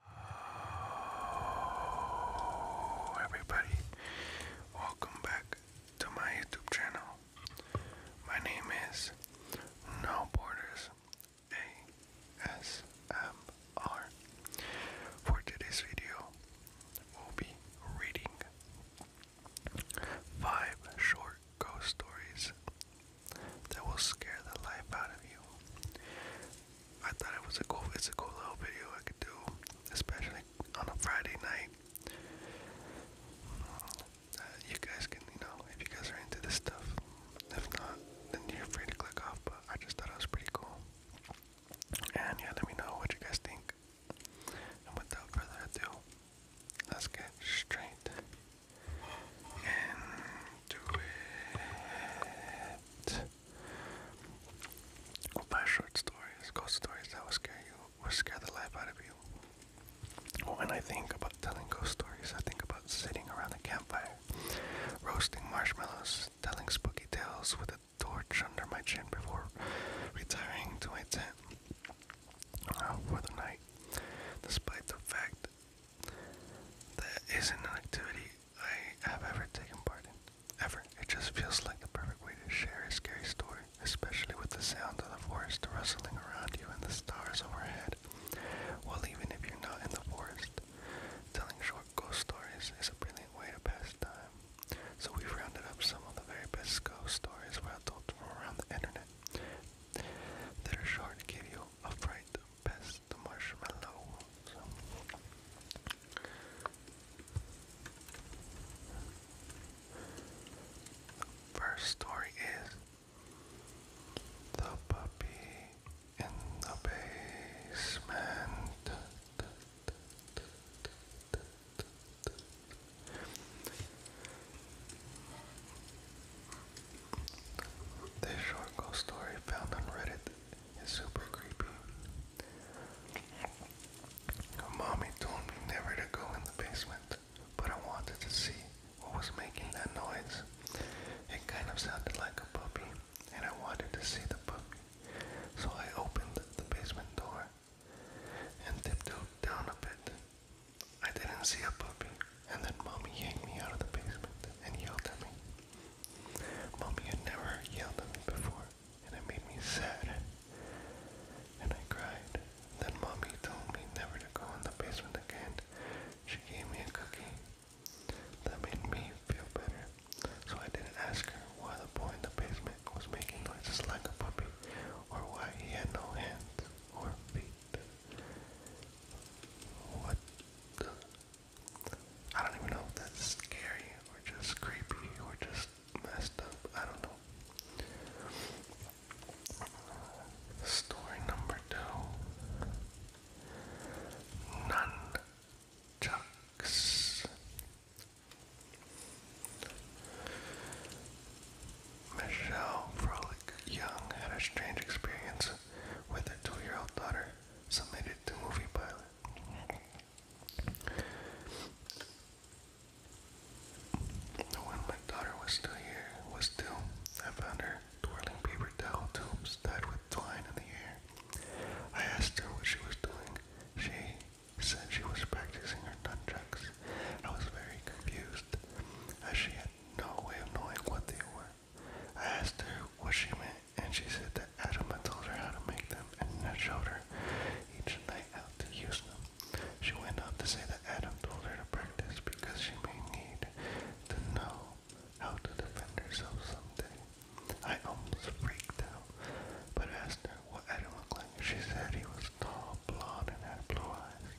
Hello oh, everybody, welcome back to my YouTube channel. My name is No Borders ASMR. For today's video, we'll be reading five short ghost stories that will scare the life out of you. I thought it was a cool, it's a cool little video I could do, especially on a Friday night. Uh, you guys can, you know, if you guys are into this stuff. If not, then you're free to click off. But I just thought it was pretty cool. And yeah, let me know what you guys think. And without further ado, let's get straight into it. we buy short stories, ghost stories that will scare you, will scare the life out of you. When I think about telling ghost stories, I think about sitting around the campfire, roasting marshmallows, telling spooky tales with a torch under my chin before retiring to my tent uh, for the night. Despite the fact that isn't an activity I have ever taken part in. Ever. It just feels like the perfect way to share a scary story, especially with the sound of the forest rustling around you and the stars overhead. Well, even if you're not in the forest, telling short ghost stories is a brilliant way to pass time. So we've rounded up some of the very best ghost stories we've adults from around the internet that are sure to give you a fright, pass the marshmallow. The first story is The Puppy in the Basement. This short ghost story found on Reddit is super creepy. Mommy told me never to go in the basement, but I wanted to see what was making that noise. It kind of sounded like a puppy, and I wanted to see the puppy. So I opened the basement door and dipped down a bit. I didn't see a puppy, and then mommy yanked me out of the basement and yelled at me. Mommy had never yelled at me before, and it made me sad. And I cried. Then mommy told me never to go in the basement again. She gave me a cookie. That made me feel better. So I didn't ask her why the boy in the basement was making noises like a puppy, or why he had no hands or feet. What I don't even know if that's scary or just creepy or just messed up. I don't know. Story number two. Nunchucks. Michelle Frolick Young had a strange experience with her two year old daughter submitted to Movie Pilot. When my daughter was still here, was still, I found her twirling paper towel tubes tied with twine in the air. I asked her what she was doing. She said she was practicing her nunchucks. I was very confused, as she had no way of knowing what they were. I asked her what she meant, and she said that Adam had told her how to make them and had showed her each night how to use them. She went on to say that Adam told her to practice because she may need to know how to defend herself someday. I almost freaked out, but asked her what Adam looked like. She said he was tall, blond, and had blue eyes.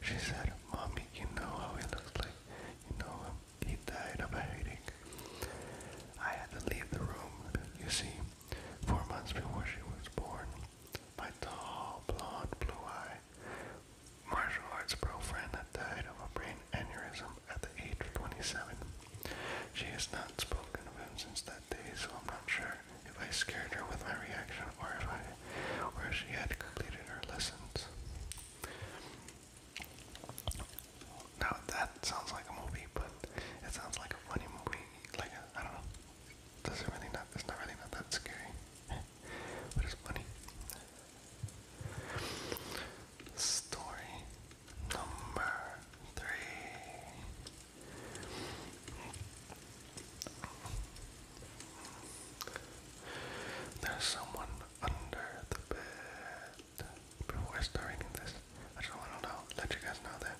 She said, Mommy, you know how he looks like. You know him. He died of a headache. I had to leave the room, you see, four months before she was born. My tall, blonde, blue eye martial arts pro had died of a brain aneurysm at the age of 27. She has not spoken of him since that day, so I'm not sure if I scared her with my reaction or if I where she had completed her lessons. Now that sounds like a movie, but it sounds like a funny movie. Like a, I don't know. Does it really not? It's not really not that scary, but it's funny. Story number three. There's someone under the bed. Before I start reading this, I just want to know, let you guys know that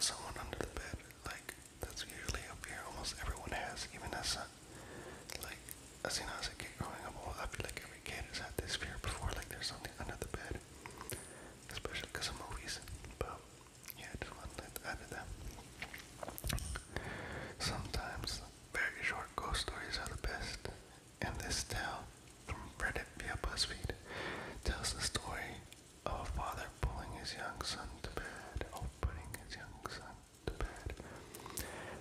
someone under the bed, like that's usually up here. Almost everyone has, even as a, like as a kid growing up, I feel like every kid has had this fear before. Like there's something under the bed, especially because of movies. But yet one-lit Abida. Sometimes very short ghost stories are the best, and this tale from Reddit via BuzzFeed tells the story of a father pulling his young son to bed, or putting his young son to bed.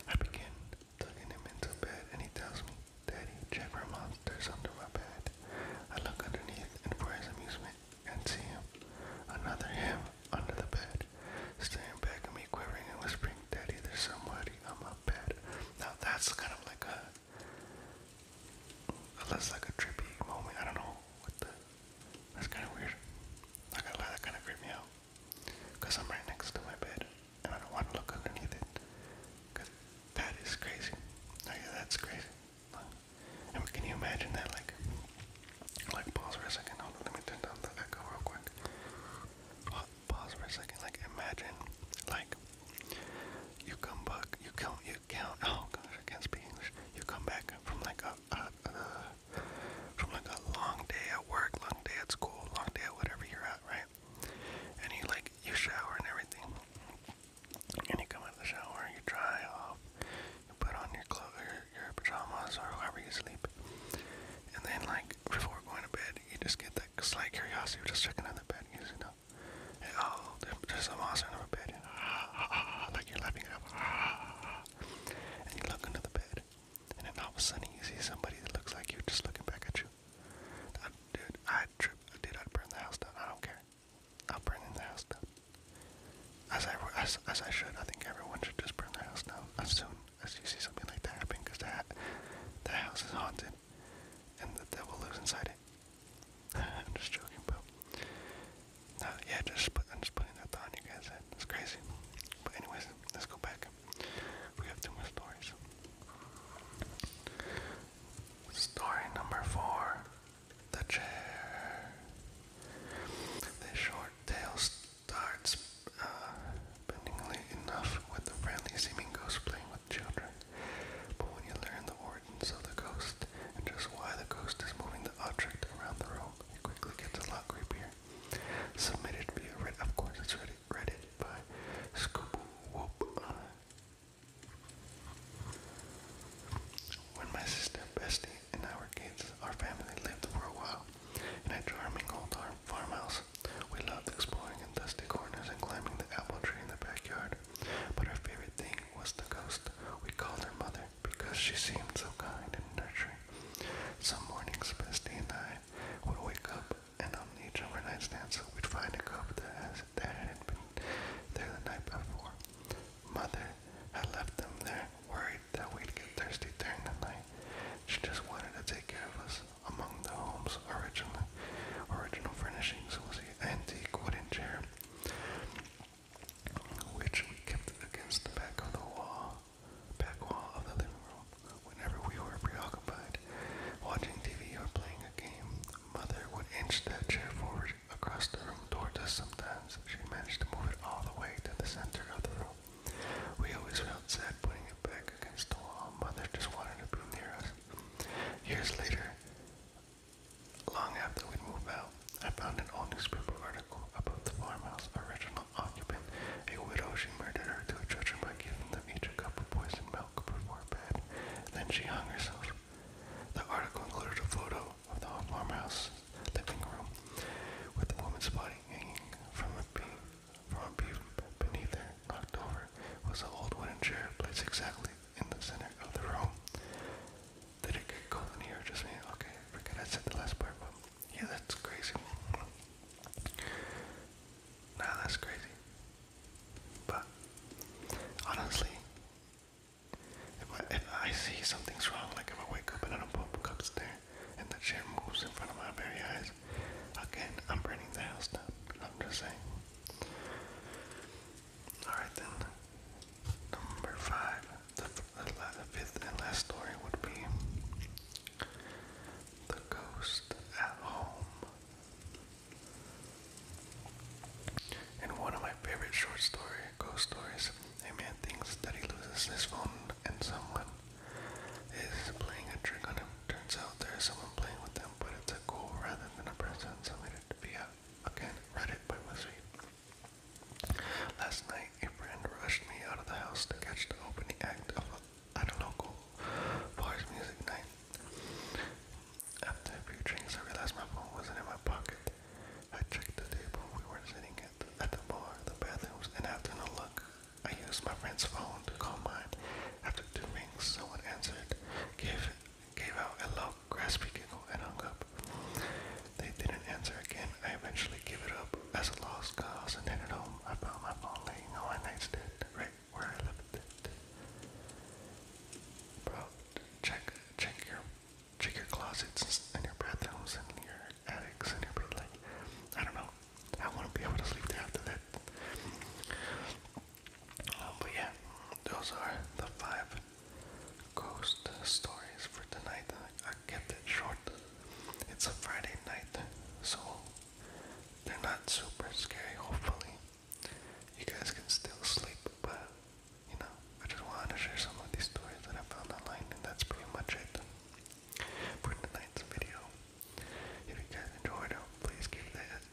I begin tucking him into bed, and he tells me, Daddy, check for monsters under my bed. I look underneath, and for his amusement, and see him. Another him under the bed, staring back at me, quivering and whispering, Daddy, there's somebody on my bed. Now that's kind of like a, that's like a trippy moment. I don't know what the, that's kind of weird. I gotta that kind of creeped me out. Cause I'm right next to my bed, and I don't want to look underneath it. Cause that is crazy. that's crazy. I can you imagine that? Like, like pause for a second. Hold on, let me turn down the echo real quick. Pause for a second. Like, imagine, like, you come back, you count, you count. Oh gosh, I can't speak English. You come back from like a, from like a long day at work, long day at school, long day at whatever you're at, right? And you like you shower and everything. And you come out of the shower, you dry off, you put on your clothes, your pajamas or however you sleep. And then, like, before going to bed, you just get that slight curiosity of just checking out the bed, you know. And, oh, there's a monster under the bed. like you're laughing it up. and you look under the bed. And then all of a sudden you see somebody that looks like you just looking back at you. dude, I'd trip. Dude, I'd burn the house down. I don't care. I'll burn in the house down. As I, as, as I should, I think everyone should just burn their house down as soon as you see something like that happen, because the, the house is haunted, and the devil lives inside it. I'm just joking, but... No, yeah, just I'm just putting that thought on you guys' head. It's crazy. But anyways, let's go back. We have two more stories. Story number four the chair. The short tail starts uh, bendingly enough with the friendly seeming ghost playing with children. But when you learn the origins of the ghost and just why the ghost is moving the object around the room, it quickly gets a lot creepier. Submitted via Reddit, of course, it's Reddit, Reddit by Scoop Whoop. When my sister Bestie and our kids, our family lived for a while in a charming old farmhouse. We loved exploring in dusty corners and climbing the apple tree in the backyard. But our favorite thing was the ghost. We called her mother because she seemed so kind and nurturing. Some mornings, Bestie and I would wake up, and on each of our nightstands, we'd find a cup that, has, that had been there the night before mother had left them there, worried that we'd get thirsty during the night. She just wanted to take care of us. Among the home's original, original furnishings was the antique wooden chair, which we kept against the back of the wall, back wall of the living room. Whenever we were preoccupied watching TV or playing a game, Mother would inch that chair forward door across the room toward us sometimes. She managed to move it all the way to the center of the room. We always felt sad putting it back against the wall. Mother just wanted to be near us. Years later, long after we'd moved out, I found an old newspaper article about the farmhouse original occupant, a widow. She murdered her two children by giving them each a cup of poisoned milk before bed. Then she hung herself. The article included a photo of the farmhouse living room, with the woman's body hanging from a beam, from a beam beneath her, knocked over, was an old wooden chair placed exactly in the center of the room. Did it get cold in here? Just me? Okay, forget I said the last part, but yeah, that's crazy. Nah, that's crazy. But honestly, if I, see something's wrong, like if I wake up and I don't put the cups there, and the chair moves in front of my very eyes, again, I'm burning the house down. I'm just saying. Alright then, number five, the fifth and last story would be The Ghost at Home. In one of my favorite short story ghost stories, a man thinks that he loses his phone and someone is playing a trick on him. Turns out there is someone playing with them, but it's a goal rather than a person submitted via, again, Reddit by BuzzFeed. Last night, a friend rushed me out of the house to catch the opening act of a, at a local boys music night. After a few drinks, I realized my phone wasn't in my pocket. I checked the table we were sitting at, the, at the bar, the bathrooms, and after no luck, I used my friend's phone to call mine. After two rings, someone answered, gave gave out a low, graspy giggle, and hung up. They didn't answer again. I eventually gave it up as a lost cause and then at home. I found my phone laying on my nightstand, right where I left it. Bro, check check your check your closets and your bathrooms and your attics and everything. Like I don't know, I want to be able to sleep there after that. Um, but yeah, those are the five ghost stories for tonight. I kept it short. It's a Friday night, so they're not super scary. Hopefully, you guys can still sleep, but you know, I just wanted to share some of these stories that I found online, and that's pretty much it for tonight's video. If you guys enjoyed it, please give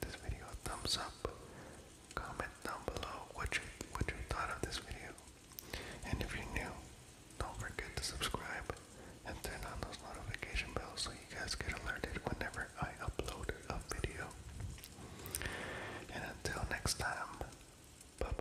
this video a thumbs up. Comment down below what you what you thought of this video, and if you're new, don't forget to subscribe and turn on those notification bells so you guys get alerted whenever I upload a video. And until next time, bye-bye.